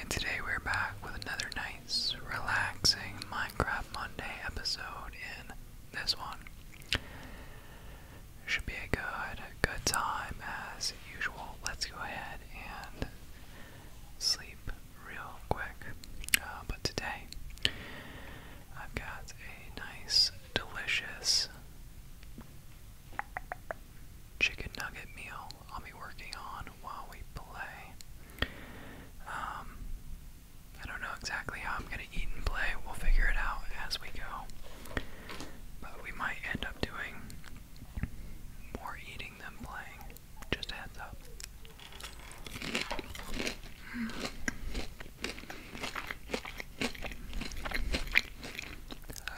And today we're back with another nice, relaxing Minecraft Monday episode. In this one, should be a good, good time as usual. Let's go ahead and sleep real quick. Uh, but today, I've got a nice, delicious chicken nugget meal I'll be working on while we play. Um, I don't know exactly how I'm gonna eat and play. We'll figure it out as we go. But we might end up doing more eating than playing. Just heads up.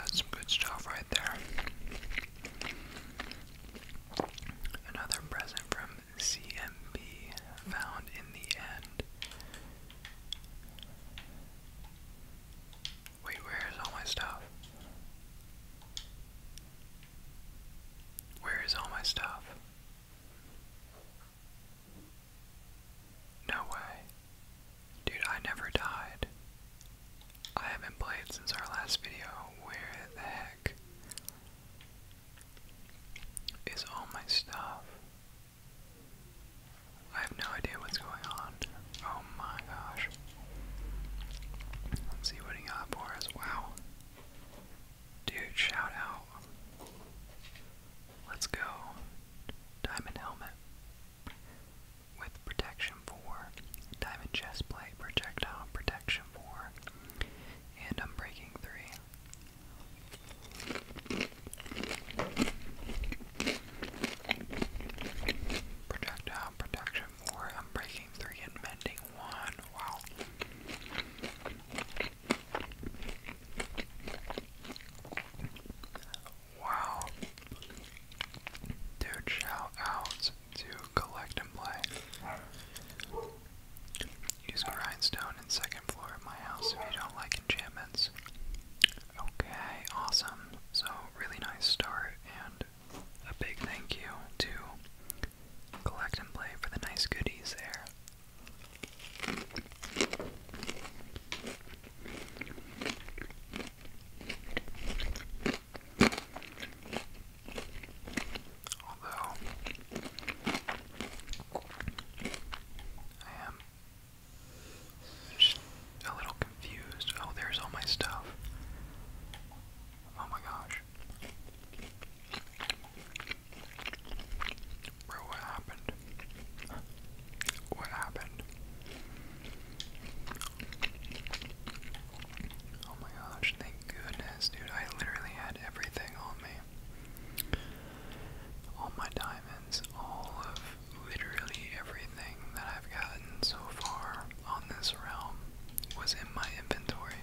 some good stuff right there. Another present from CMB found in the end. Wait, where is all my stuff? Where is all my stuff? No way. Dude, I never died. I haven't played since our last video. Where the heck is all my stuff? I have no idea what's going on. Oh my gosh. Let's see what he got for us. Wow. Dude, shout out. Let's go. Diamond helmet with protection 4, diamond chest plate, projectile protection 4, and unbreaking 3. Projectile protection 4, unbreaking 3, and mending 1. Wow. Wow. Dude, shout outs to collect and play. Use grindstone and second floor of my house if you don't like enchantments. Okay, awesome. So, really nice start, and a big thank you to Collect and Play for the nice goodies there. Although I am just a little confused. Oh, there's all my stuff. Oh my gosh. Bro, what happened? What happened? Oh my gosh, thank goodness, dude. I literally had everything on me. All my diamonds, all of literally everything that I've gotten so far on this realm was in my inventory.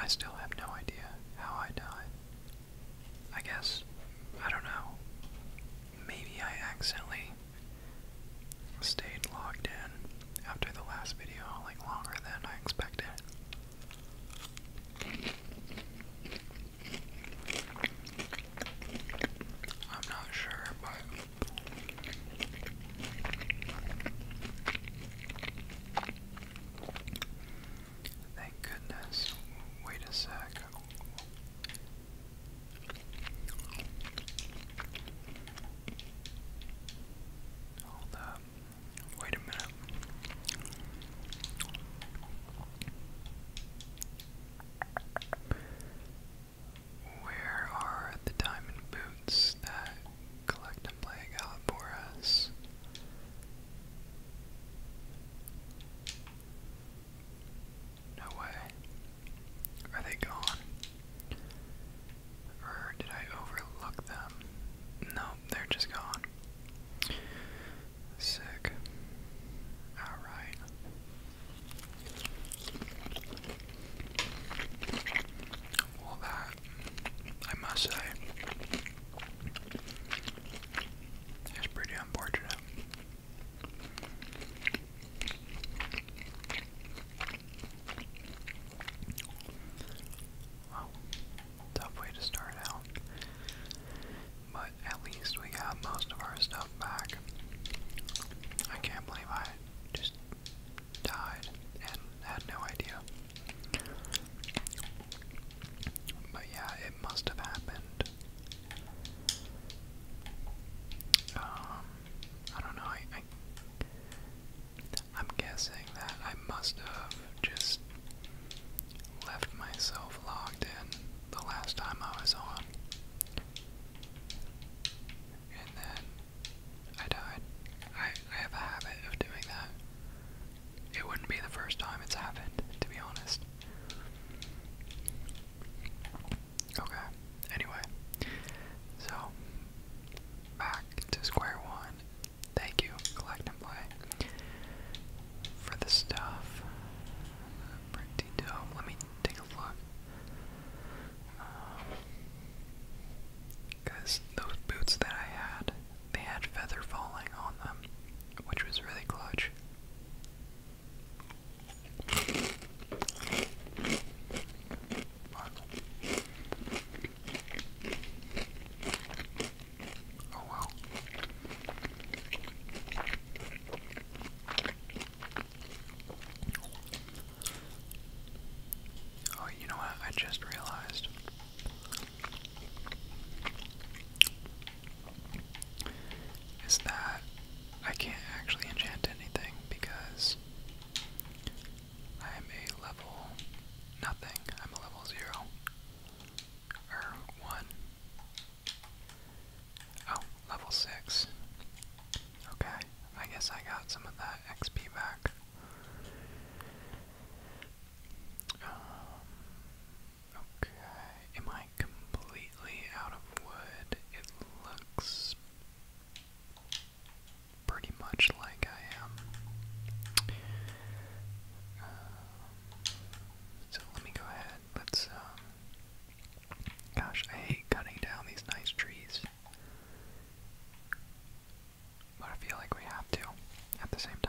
I still have no idea how I died. I guess, I don't know. Maybe I accidentally stayed logged in after the last video like longer than I expected. I'm not sure, but Thank goodness. Wait a sec. Hold up. Wait a minute. Where are the diamond boots that collect and play out for us? No way. Are they gone? Or did I overlook them? No, they're just gone. Sick. Alright. Well, that, I must say, is pretty unfortunate tough way to start out. But at least we got most of our stuff back. I can't believe I just died and had no idea. But yeah, it must have happened. Um, I don't know. I, I am guessing that I must have just left myself logged in the last time I was on. And then I died. I, I have a habit of doing that. It wouldn't be the first time it's happened, to be honest. Okay, anyway, so back to square one. Thank you, Collect and for the stuff. Pretty dope. Let me take a look. Because um, those boots that I had, they had feather falling on them, which was really clutch. Oh wow. Oh, you know what? I just realized. Is that I can't actually enchant anything because I am a level nothing. I'm a level zero. Or er, one. Oh, level six. Okay, I guess I got some of that XP back. Um, okay, am I completely out of wood? It looks pretty much like I am. Um, so let me go ahead. Let's, um, gosh, I hate cutting down these nice trees. But I feel like we have to at the same time.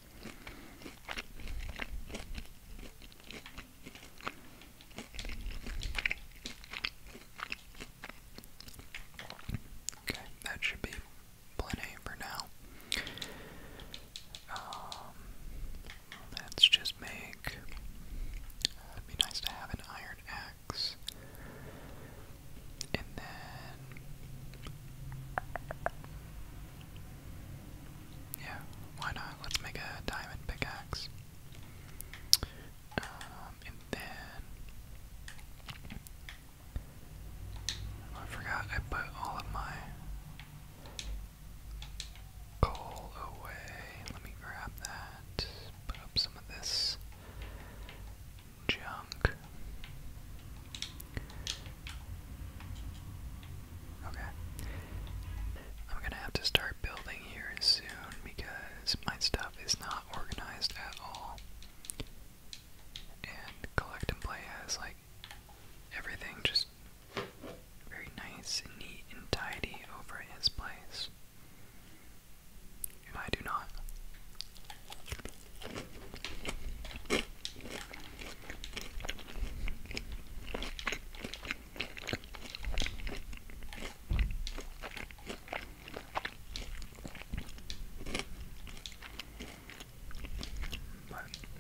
Okay, that should be plenty for now. Um, let's just make. it'd uh, be nice to have an iron axe, and then yeah, why not? Let's make a diamond pickaxe. Um, and then oh, I forgot I put all of my coal away. Let me grab that. Put up some of this junk. Okay. I'm gonna have to start building here soon because my stuff is not organized at all. And Collect and Play has like everything just very nice and neat and tidy over his place. And I do not.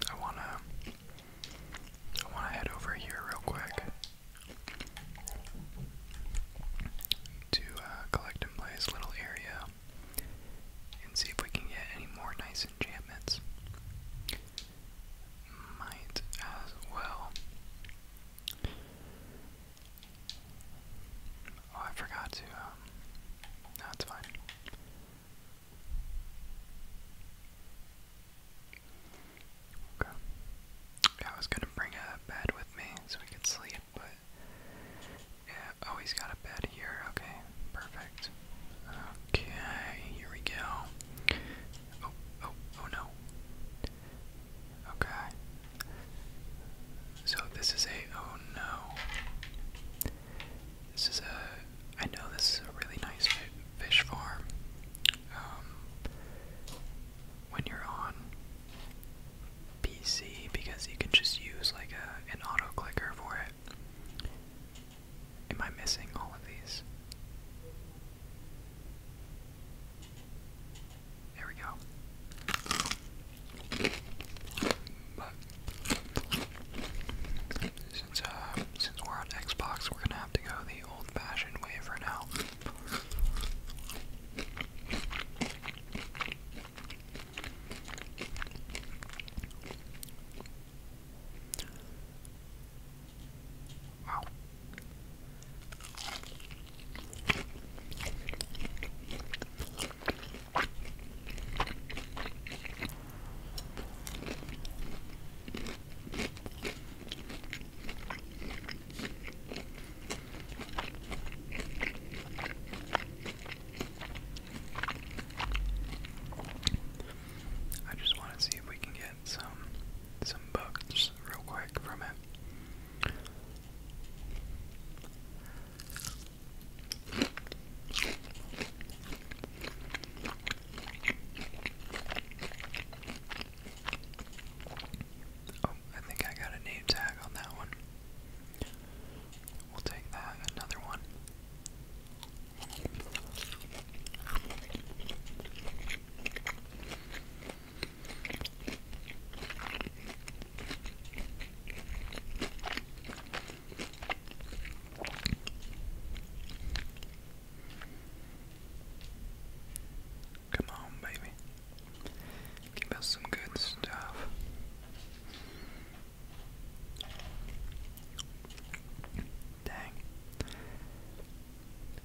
I wanna I wanna head over here real quick to uh, collect and play play's little area and see if we can get any more nice enchantments might as well. Oh, I forgot to, um, no, it's fine. Okay. I was gonna bring a bed with me so we could sleep, but yeah, oh, he's got a bed here. Okay, perfect. Okay, here we go. Oh, oh, oh, no. Okay. So this is a oh no. This is a I know this is a really nice fish farm. Um, when you're on PC because you can just use like an auto clicker for it. Am I missing all of these? There we go. But uh, since we're on Xbox, we're gonna have to go the old-fashioned way for now. I just want to see if we can get some some books real quick from it. Oh, I think I got a name tag on that one. We'll take that, another one. Come on, baby. Give us some good stuff. Dang.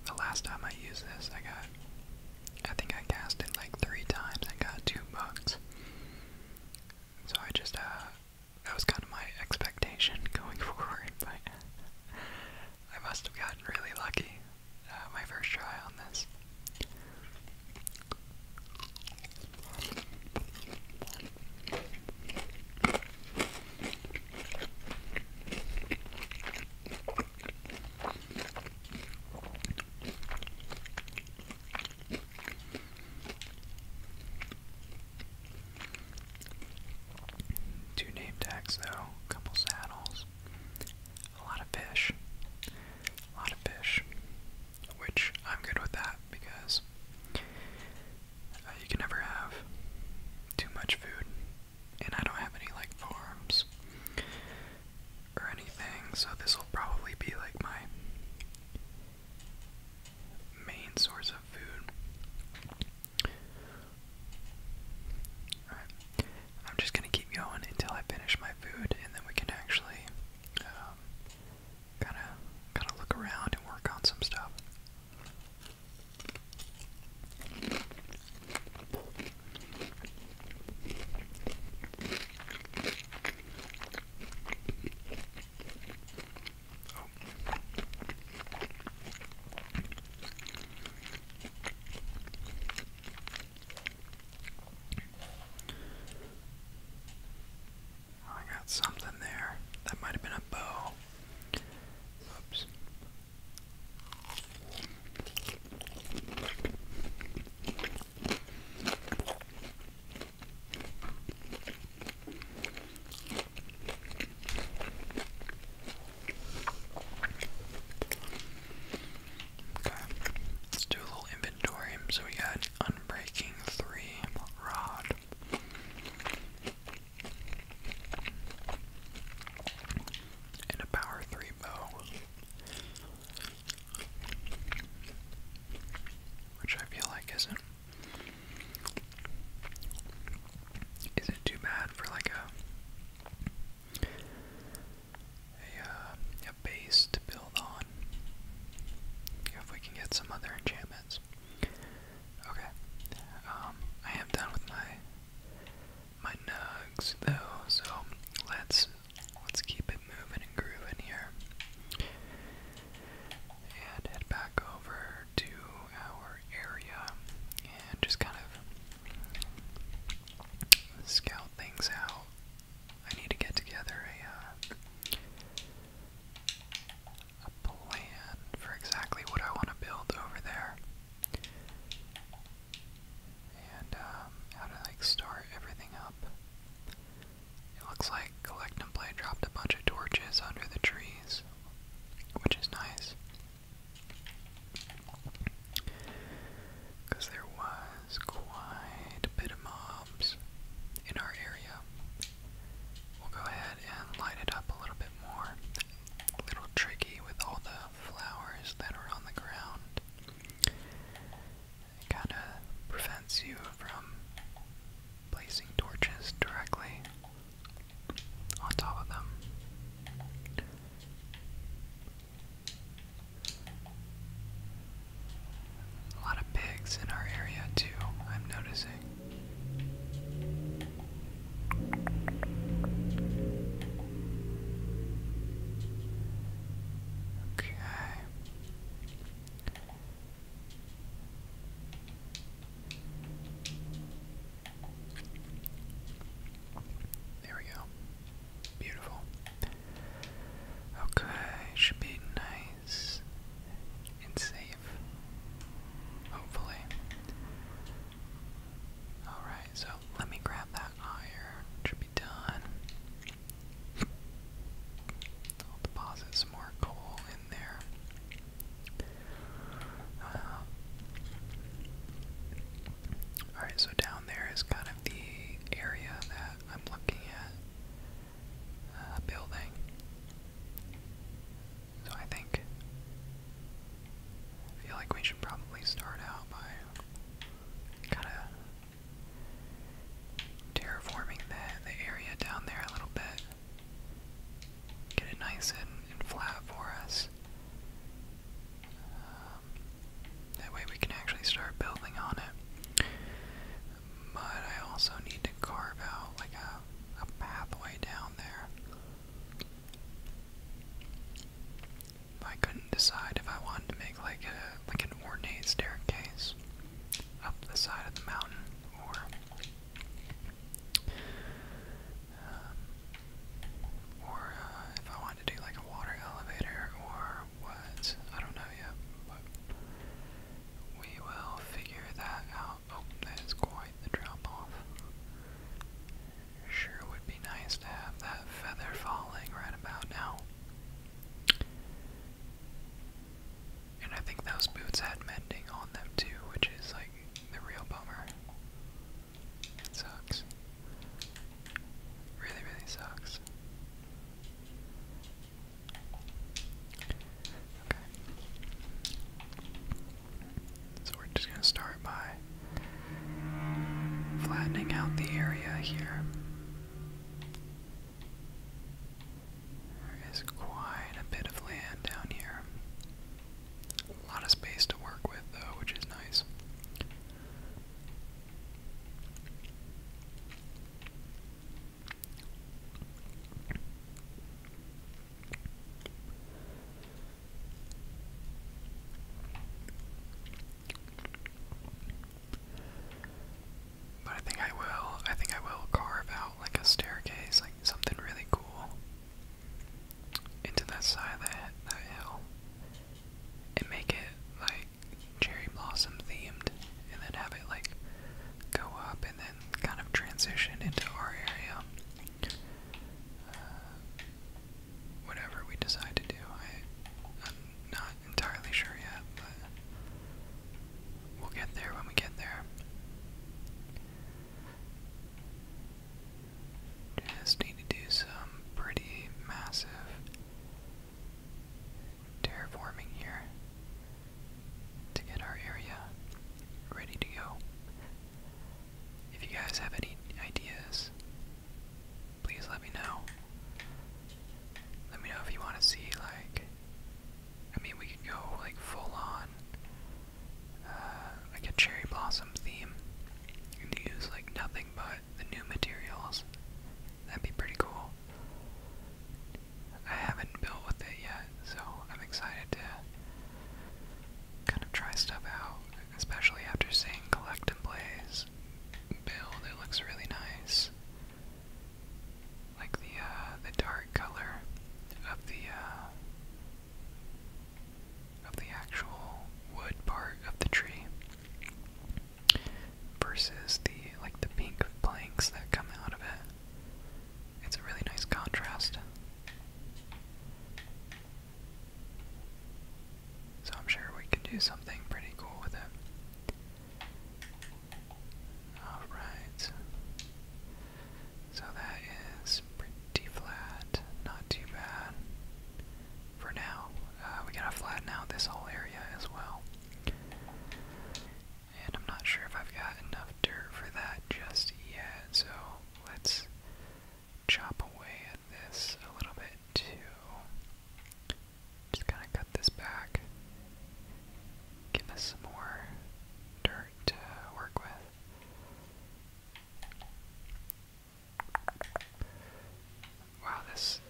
The last time I used this, I got. I think I cast like three times and got two bucks. So I just, uh, That was kind of my expectation going forward, but. I must have gotten really lucky uh, my first try on this. Two name tags though, a couple saddles, a lot of fish, a lot of fish, which I'm good with that because uh, you can never have too much food, and I don't have any like farms or anything, so this will probably be like my main source of food. I'm just gonna keep going until I finish my food, and then we can actually kind of kind of look around and work on some stuff. Oh. I got something there. That might have been a bow. Oops. Okay, let's do a little inventory. So we got unbreaking three rod and a power three bow, which I feel like isn't isn't too bad for like a a uh, base to build on. If we can get some other enchantments. Okay. Um, I am done with my my nugs though, so let's let's keep it moving and grooving here. And head back over to our area and just kind of scout things out. I need to get together a uh, a plan for exactly what I want to build over there. And um, how to like start everything up. It looks like Collect dropped a bunch of torches under the trees, which is nice. Because there was quite a bit of mobs in our area. We'll go ahead and light it up a little bit more a little tricky with all the flowers that are on the ground. It kind of prevents you from placing torches directly on top of them. A lot of pigs in our area too, I'm noticing. Okay. There we go. Beautiful. Okay, should be nice and safe. Hopefully. Alright, so let me grab that iron. Should be done. I'll deposit some more coal in there. Uh, Alright, so down there is kind of the area that I'm looking at uh, building. So I think feel like we should probably start out by kind of terraforming the the area down there a little bit. Get it nice and, flat for us. Um, that way we can actually start building on it. But I also need to carve out like a, a pathway down there. I couldn't decide if I wanted to make like a like an ornate staircase up the side of the mountain or um, uh, if I wanted to do like a water elevator or what I don't know yet, but we will figure that out. Oh, that is quite the drop off. Sure would be nice to have that feather falling right about now. And I think those boots had mending on them too, which is like the real bummer. It sucks. Really, really sucks. Okay. So we're just going to start by flattening out the area here. There is quite a bit of land down here. A lot of space to work with, though, which is nice. But I think I will. I think I will carve out like a staircase, like something really cool, into that side of that hill, and make it like cherry blossom themed, and then have it like go up and then kind of transition into our area. Uh, whatever we decide to do. I, am not entirely sure yet, but we'll get there when we get there. Just need to do some pretty massive terraforming here to get our area ready to go. If you guys have any ideas, please let me know. Let me know if you want to see, like, I mean, we could go, like, full on, uh, like a cherry blossom theme and use, like, nothing but the new materials. That'd be pretty cool. I haven't built with it yet, so I'm excited to kind of try stuff out especially after seeing Collect and Blaze build. It looks really nice. Like the uh, the dark color of the uh, of the actual wood part of the tree versus the like the pink planks that come out of it. It's a really nice contrast. So I'm sure we can do something pretty cool with it. Alright. So that is pretty flat. Not too bad. For now, uh, we gotta flatten out this whole area as well. And I'm not sure if I've got enough dirt for that just yet, so let's chop away expand this a little bit too. Just kind of cut this back. Give us some more dirt to work with. Wow, this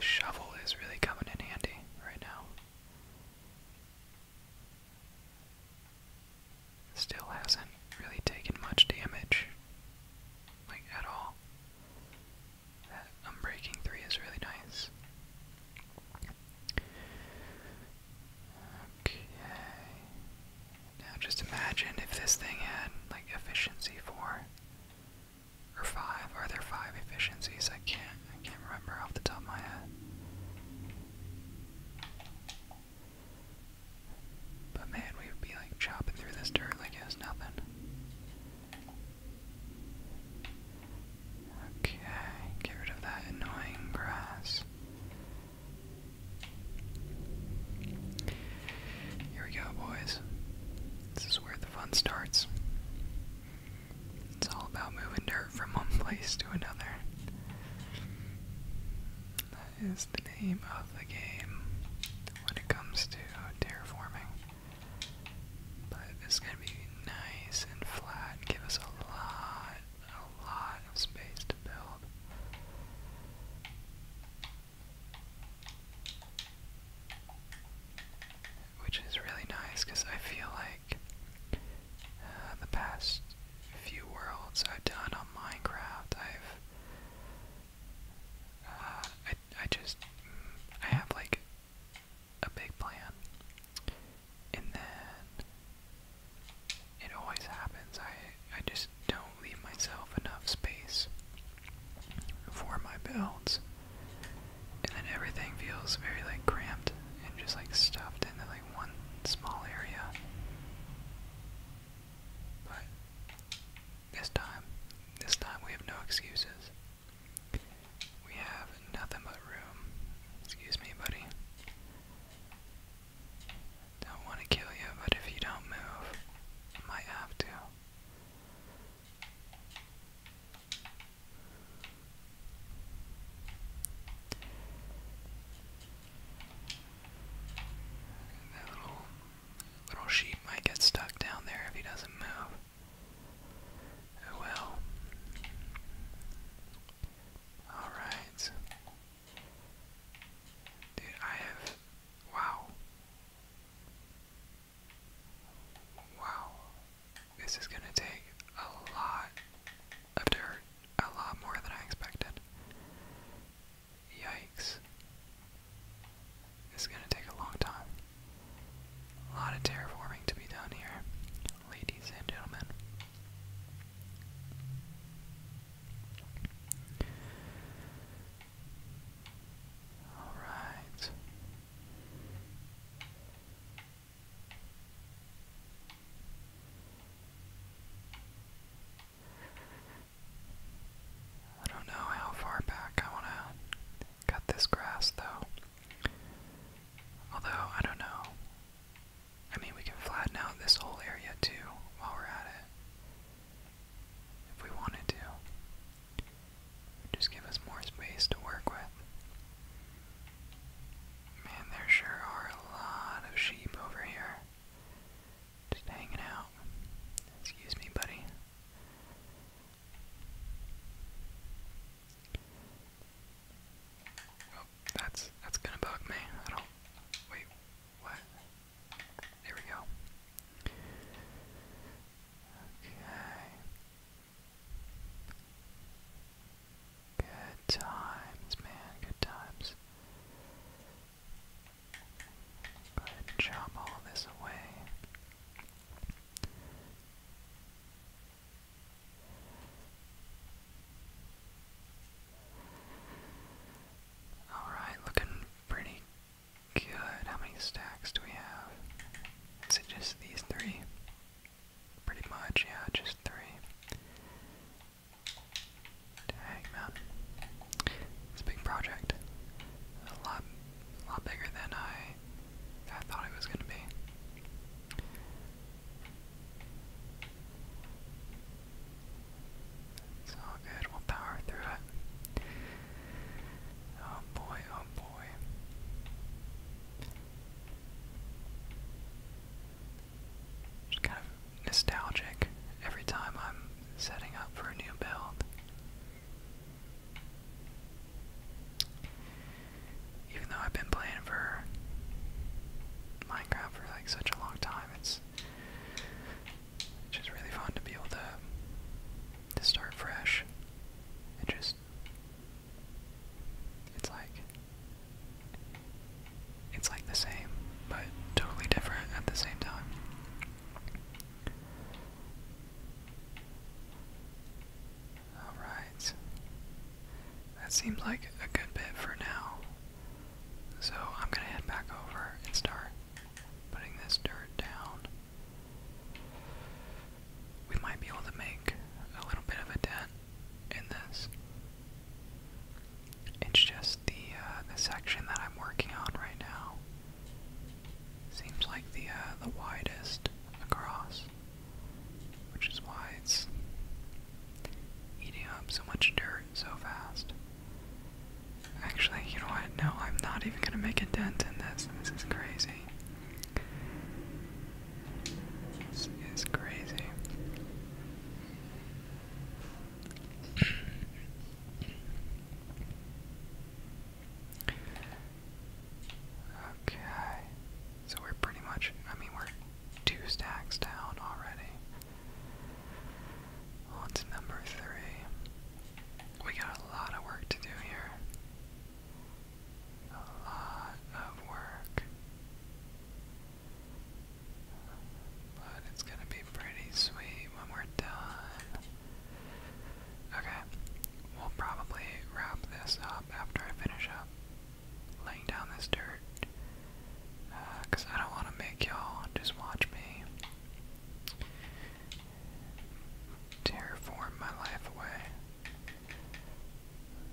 shovel is really coming in handy right now. Still hasn't really taken much damage. Like, at all. That Unbreaking 3 is really nice. Okay. Now just imagine if this thing had, like, efficiency 4 or 5. Are there 5 efficiencies? I can't, I can't remember off the top of my head. But man, we would be like chopping through this dirt like it was nothing. Okay, get rid of that annoying grass. Here we go, boys. This is where the fun starts. It's all about moving dirt from one place to another is the name of the game when it comes to terraforming. But it's gonna be nice and flat give us a lot, a lot of space to build. Which is really nice because I feel like uh, the past few worlds I've done on Minecraft, I've uh, I I just mm, I have like a big plan, and then it always happens. I I just don't leave myself enough space for my builds, and then everything feels very like cramped and just like stuffed into like one small area. But this time, this time we have no excuses. We have nothing but room. Excuse me, buddy. Don't want to kill you, but if you don't move, might have to. That little Little sheep might get stuck down there if he doesn't move. Oh well. Alright. Dude, I have. Wow. Wow. This is gonna take a lot of dirt. A lot more than I expected. Yikes. This is going to take a long time. A lot of terraforming to be done here, ladies and gentlemen. Alright. I don't know how far back I want to cut this grass, though. Although, I don't know. I mean, we can flatten out this whole area, too, while we're at it. If we wanted to. Just give us more space to work with. Man, there sure are a lot of sheep over here. Just hanging out. Excuse me, buddy. Oh, that's that's gonna bug me. I don't wait, what? There we go. Okay. Good times, man, good times. Go ahead and chop all this away. Alright, looking pretty good. How many stacks do we have? Is it just these three? Pretty much, yeah, just three. Dang, man. It's a big project. A lot, lot bigger than I, I thought it was going to be. It's all good. We'll power through it. Oh boy, oh boy. Just kind of nostalgic every time I'm setting up for a new build. Even though I've been playing for Minecraft for like such a long time, it's just really fun to be able to to start fresh. It just it's like it's like the same, but totally different at the same time. Alright. That seems like a good bit for now. So I'm gonna head back over and start putting this dirt down. We might be able to make a little bit of a dent in this. It's just the uh, the section that I'm working on right now. Seems like the uh, the widest across, which is why it's eating up so much dirt so fast. Actually, you know what? No, I'm not even gonna make a dent in this. This is crazy. This is crazy. Okay. So we're pretty much, I mean, we're two stacks down already. On to number three. We got a lot of work to do here. A lot of work. But it's gonna be pretty sweet when we're done. Okay, we'll probably wrap this up after I finish up laying down this dirt. Because uh, I don't want to make y'all just watch me terraform my life away.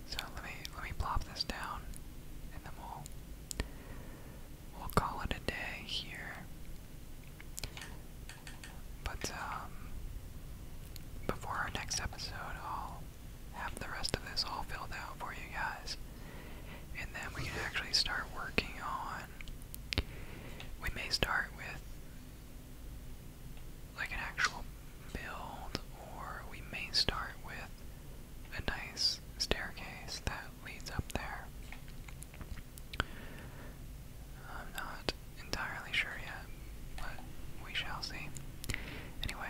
So let me let me plop this down, and then we we'll call it a day here. But um, before our next episode, I'll have the rest of this all filled out for you guys, and then we can actually start working on. We may start with like an actual build, or we may start with a nice staircase that leads up there. I'm not entirely sure yet, but we shall see. Anyway,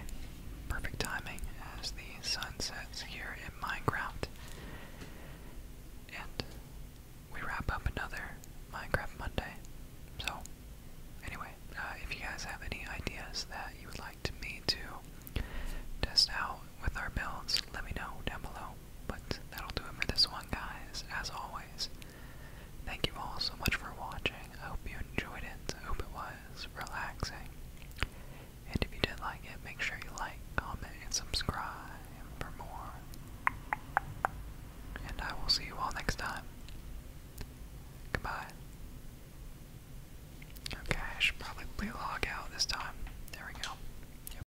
perfect timing as the sun sets here in Minecraft. And we wrap up another Minecraft Monday. So, anyway, uh, if you guys have any ideas that you would like to me to test out with our builds, let me know down below. But that'll do it for this one, guys. As always, thank you all so much for watching. I hope you enjoyed it. I hope it was relaxing. And if you did like it, make sure you like, comment, and subscribe for more. And I will see you all next time. Goodbye. Okay, I should probably log out this time. There we go.